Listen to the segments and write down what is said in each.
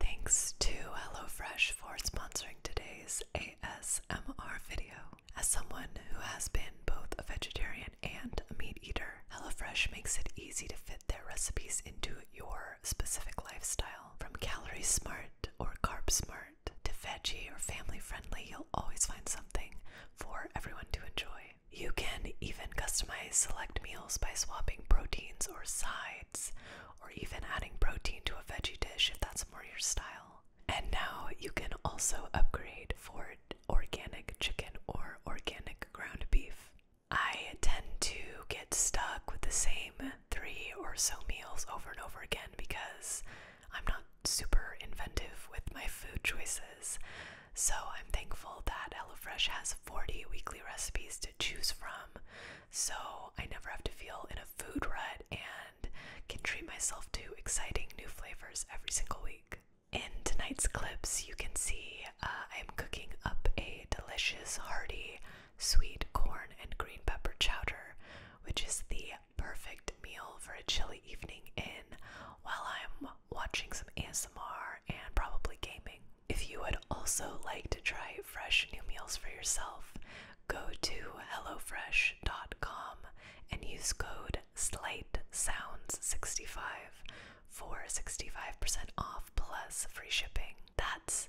Thanks to HelloFresh for sponsoring today's ASMR video. As someone who has been both a vegetarian and a meat eater, HelloFresh makes it easy to fit their recipes into your specific lifestyle. From calorie smart or carb smart to veggie or family friendly, you'll always find something for everyone to enjoy. You can even customize select meals by swapping proteins or sides or even adding protein to a veggie dish if that's more your style. And now you can also upgrade for organic chicken or organic ground beef. I tend to get stuck with the same three or so meals over and over again because I'm not super inventive with my food choices. So I'm thankful that HelloFresh has 40 weekly recipes to choose from um, so I never have to feel in a food rut and can treat myself to exciting new flavors every single week. In tonight's clips, you can see uh, I'm cooking up a delicious, hearty, sweet corn and green pepper chowder, which is the perfect meal for a chilly evening in while I'm watching some ASMR and probably gaming. If you would also like to try fresh new meals for yourself, go to HelloFresh.com and use code sounds 65 for 65% off plus free shipping. That's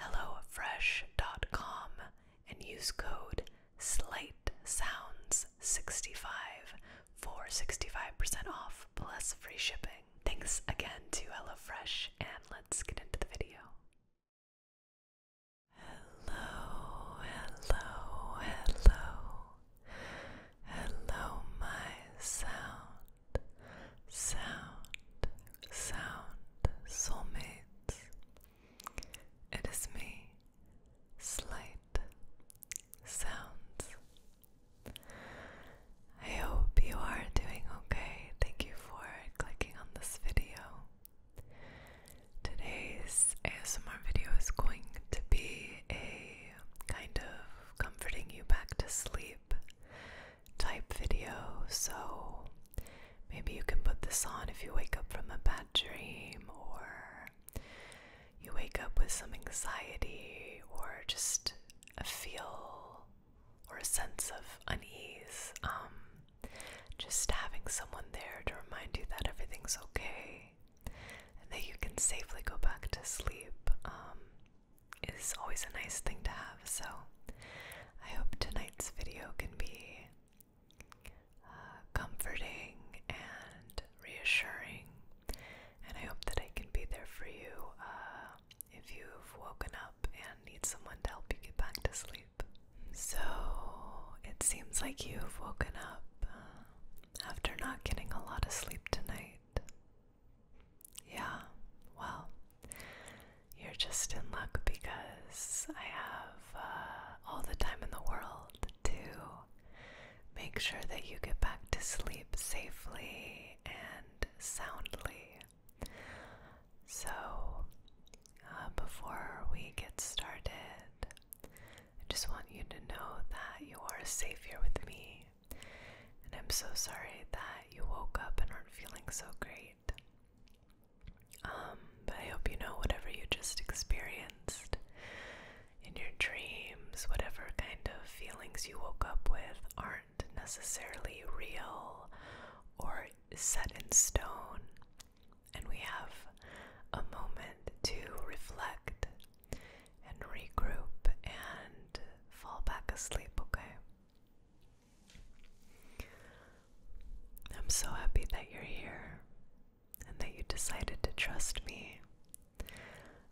HelloFresh.com and use code sounds 65 for 65% off plus free shipping. Thanks again to HelloFresh, and let's get into the video. Hello, hello, hello. Hello, my sound, sound, sound soulmates. It is me, Slight Sounds I hope you are doing okay. Thank you for clicking on this video. Today's ASMR video is going to be a kind of comforting you back to sleep type video, so maybe you can put this on if you wake up from a bad dream or you wake up with some anxiety or just a feel or a sense of unease. Um, just having someone there to remind you that everything's okay and that you can safely go back to sleep um, is always a nice thing to have. So I hope tonight's video can be uh, comforting and reassuring and I hope that I can be there for you uh, if you've woken up and need someone to help you get back to sleep. So it seems like you've woken up uh, after not getting a lot of sleep tonight. Yeah, well, you're just in luck because I have uh, all the time in the world to Make sure that you get back to sleep safely and soundly. So, uh, before we get started, I just want you to know that you are safe here with me. And I'm so sorry that you woke up and aren't feeling so great. Um, but I hope you know whatever you just experienced in your dreams, whatever kind of feelings you woke up with aren't necessarily real or set in stone. And we have a moment to reflect and regroup and fall back asleep, okay? I'm so happy that you're here and that you decided to trust me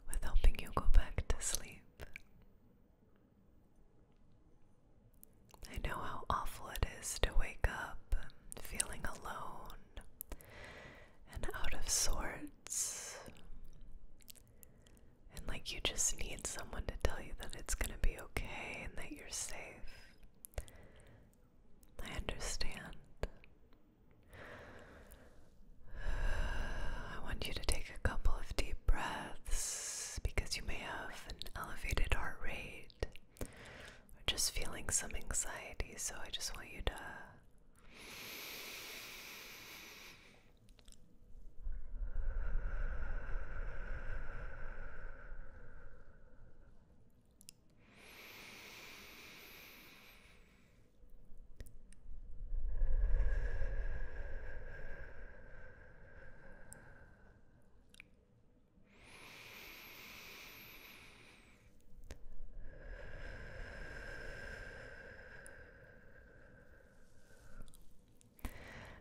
with helping you go back to sleep. I know how awful it is to wake up feeling alone and out of sorts, and like you just need someone to tell you that it's going to be okay and that you're safe. I understand. I want you to take a couple of deep breaths because you may have an elevated heart rate or just feeling some anxiety. So I just want you to.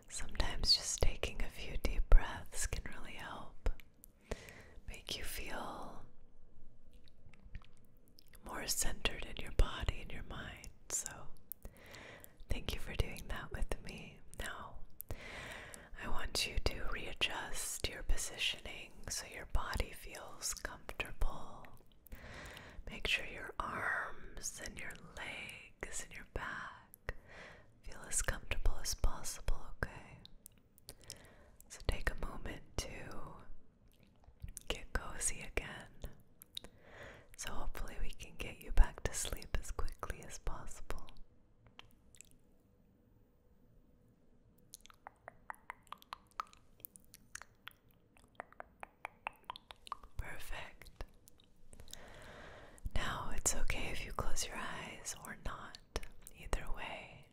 Sometimes just taking a few deep breaths can really help make you feel more centered in your body and your mind. So, thank you for doing that with me. Now, I want you to readjust your positioning so your body feels comfortable. Make sure your arms and your legs and your back feel as comfortable as possible, okay? So take a moment to get cozy again. So hopefully, we can get you back to sleep as quickly as possible. Perfect. Now, it's okay if you close your eyes or not. Either way,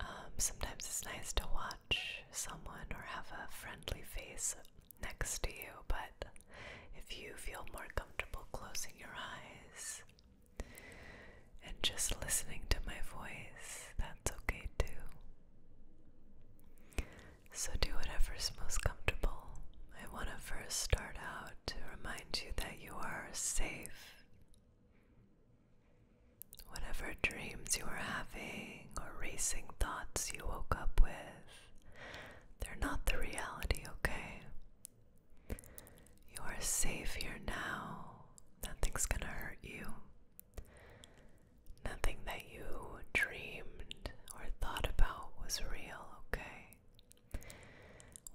um, sometimes it's nice to watch someone or have a friendly face next to you, but if you feel more comfortable closing your eyes and just listening to my voice, that's okay too. So do whatever's most comfortable. I want to first start out to remind you that you are safe. Whatever dreams you were having or racing thoughts you woke up with, they're not the reality, okay? You are safe here now. Nothing's gonna hurt you. Nothing that you dreamed or thought about was real, okay?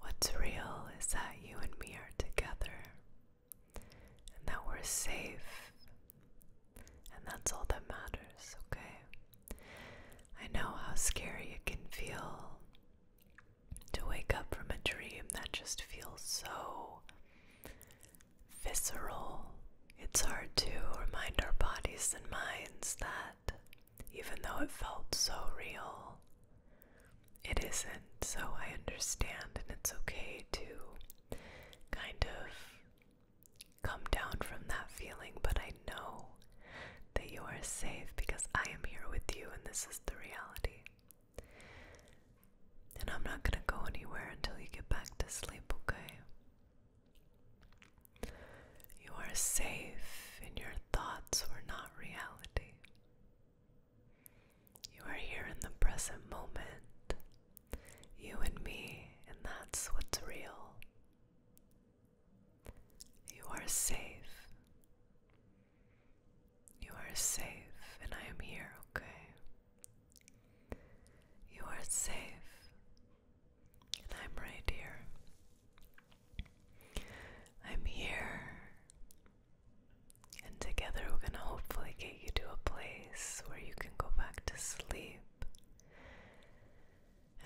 What's real is that you and me are together and that we're safe. And that's all that matters, okay? I know how scary it can feel to wake up from a dream that just feels so visceral. It's hard to remind our bodies and minds that even though it felt so real, it isn't, so I understand, and it's okay to kind of come down from that feeling, but I know that you are safe because I am here with you, and this is the reality. And I'm not gonna go anywhere until you get back to sleep, okay? You are safe, and your thoughts were not reality. You are here in the present moment, you and me, and that's what's real. You are safe. You are safe, and I am here, okay? You are safe, and I'm right here. I'm here. And together we're going to hopefully get you to a place where you can go back to sleep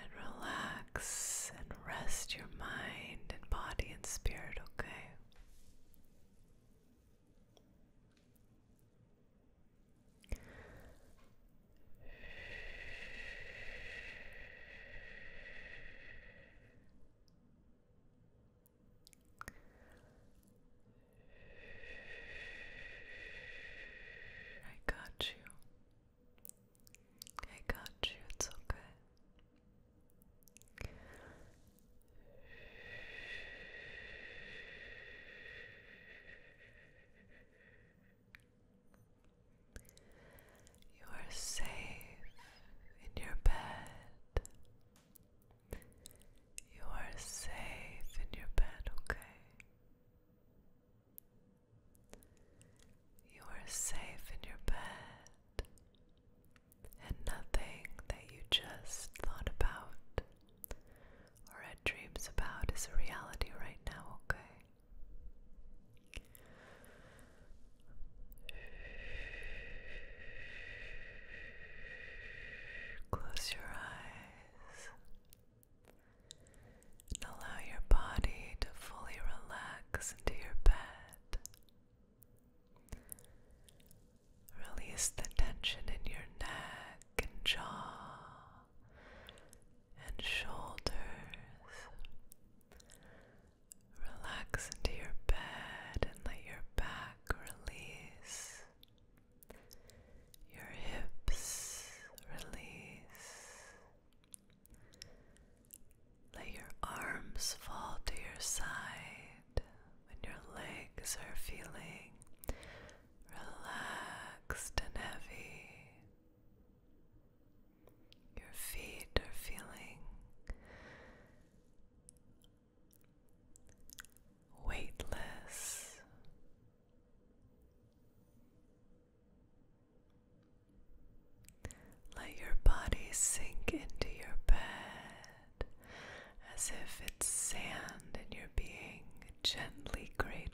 and relax and rest your mind and body and spirit, okay? I got you. I got you. It's okay. You are safe in your bed. You are safe in your bed, okay? You are safe in your bed, and nothing that you just thought about or had dreams about is a reality right now, okay? Close your eyes and allow your body to fully relax into your bed. Release the tension in your neck and jaw and shoulders. Relax into your bed and let your back release. Your hips release. Let your arms fall to your side and your legs are feeling relaxed and heavy. Your feet are feeling weightless. Let your body sink into your bed as if it's sand and you're being gently cradled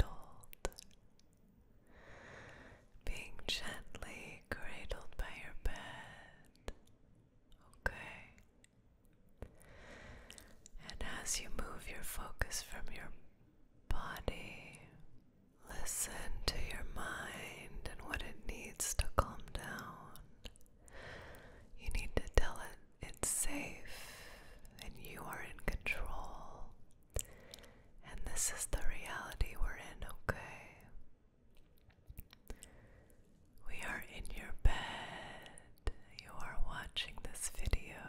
being gently cradled by your bed. Okay. And as you move your focus from your body, listen to your mind and what it needs to calm down. You need to tell it it's safe and you are in control. And this is the reality we're in, okay? We are in your bed. You are watching this video.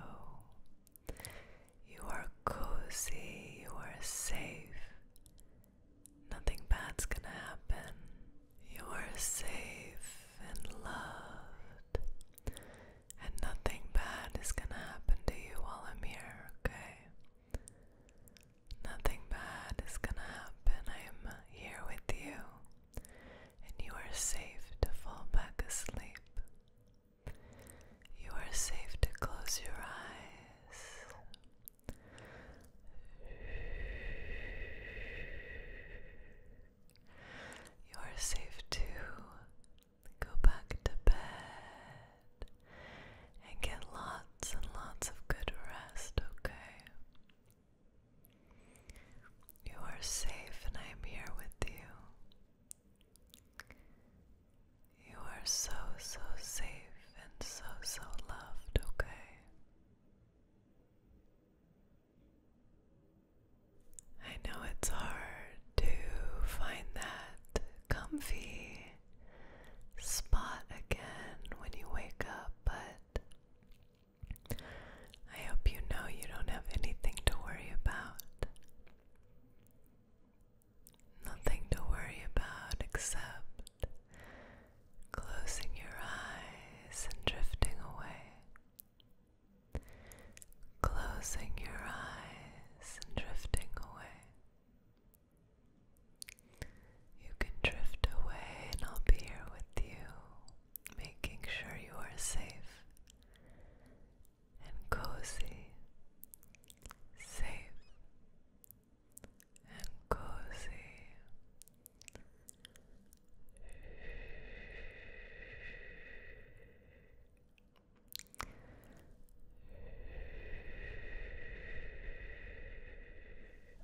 You are cozy. You are safe. Nothing bad's gonna happen. You are safe and loved and nothing bad is gonna happen to you while I'm here, okay? Nothing bad is gonna happen. I am here with you, and you are safe to fall back asleep. You are safe to close your eyes. You are safe to Go back to bed and get lots and lots of good rest, okay? You are safe, and I am here with you. You are so, so safe and so, so loved, okay? I know it's hard to find that comfy spot again when you wake up, but I hope you know you don't have anything to worry about. Nothing to worry about except closing your eyes and drifting away. Closing your eyes and drifting away. You can drift away, and I'll be here with you, making sure you are safe and cozy. Safe and cozy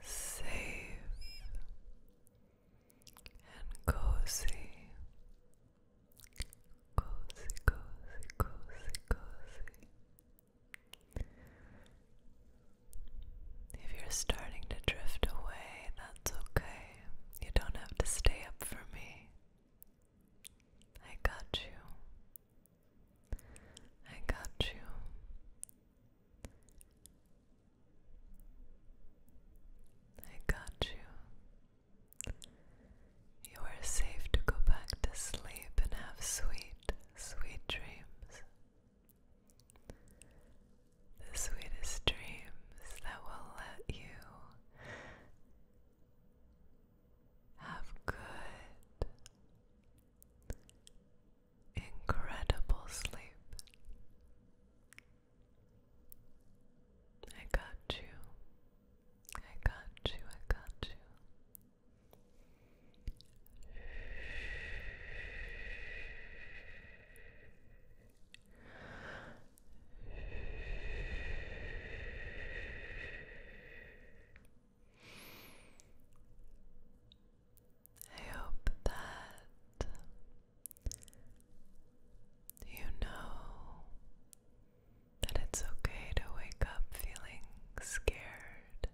safe and cozy, cozy, cozy, cozy, cozy. If you're starting to drift away, that's okay. You don't have to stay up for me. I got you. I got you. I got you. You are safe to go back to sleep and have sweet, sweet dreams. The sweetest dreams that will let you have good, incredible sleep. I got you. I got you. I got you. I hope that you know that it's okay to wake up feeling scared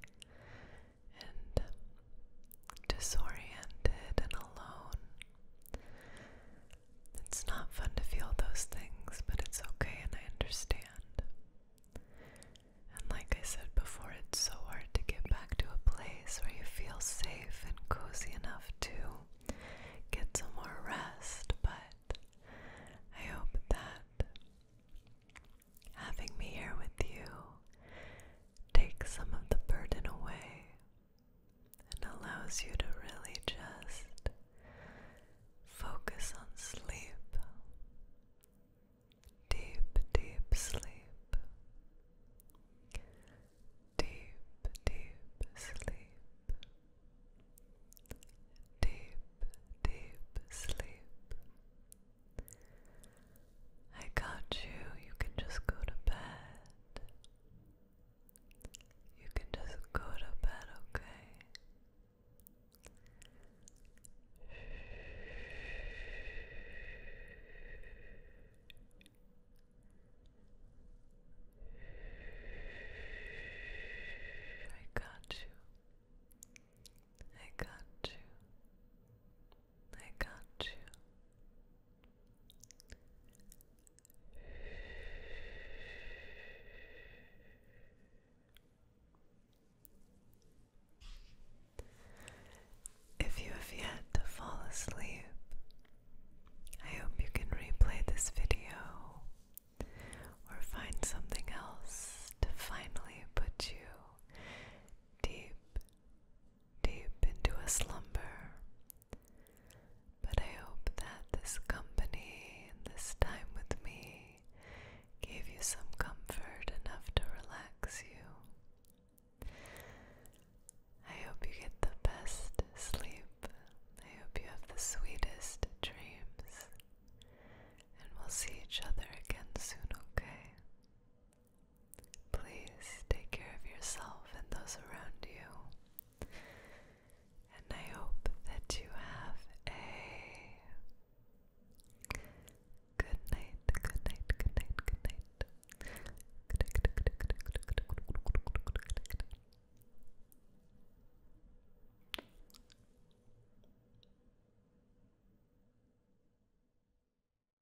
and disoriented and alone. It's not fun to feel those things, but it's okay and I understand. And like I said before, it's so hard to get back to a place where you feel safe and cozy enough to get some more rest, but I hope that having me here with you takes some of the burden away and allows you to really just focus on sleep. Deep, deep sleep. Deep, deep sleep. Deep, deep sleep. I got you. You can just go to bed. You can just go to bed, okay? I got you. I got you. I got you. If you have yet to fall asleep, I hope you can replay this video or find something else to finally put you deep, deep into a slumber. But I hope that this company and this time with me gave you some comfort enough to relax you. I hope you get the best sleep. I hope you have the sweetest dreams. And we'll see each other again soon, okay? Please take care of yourself and those around you. And I hope that you have a good night, good night, good night, good night. Good night, good night, good night, good night, good night, good night, good night.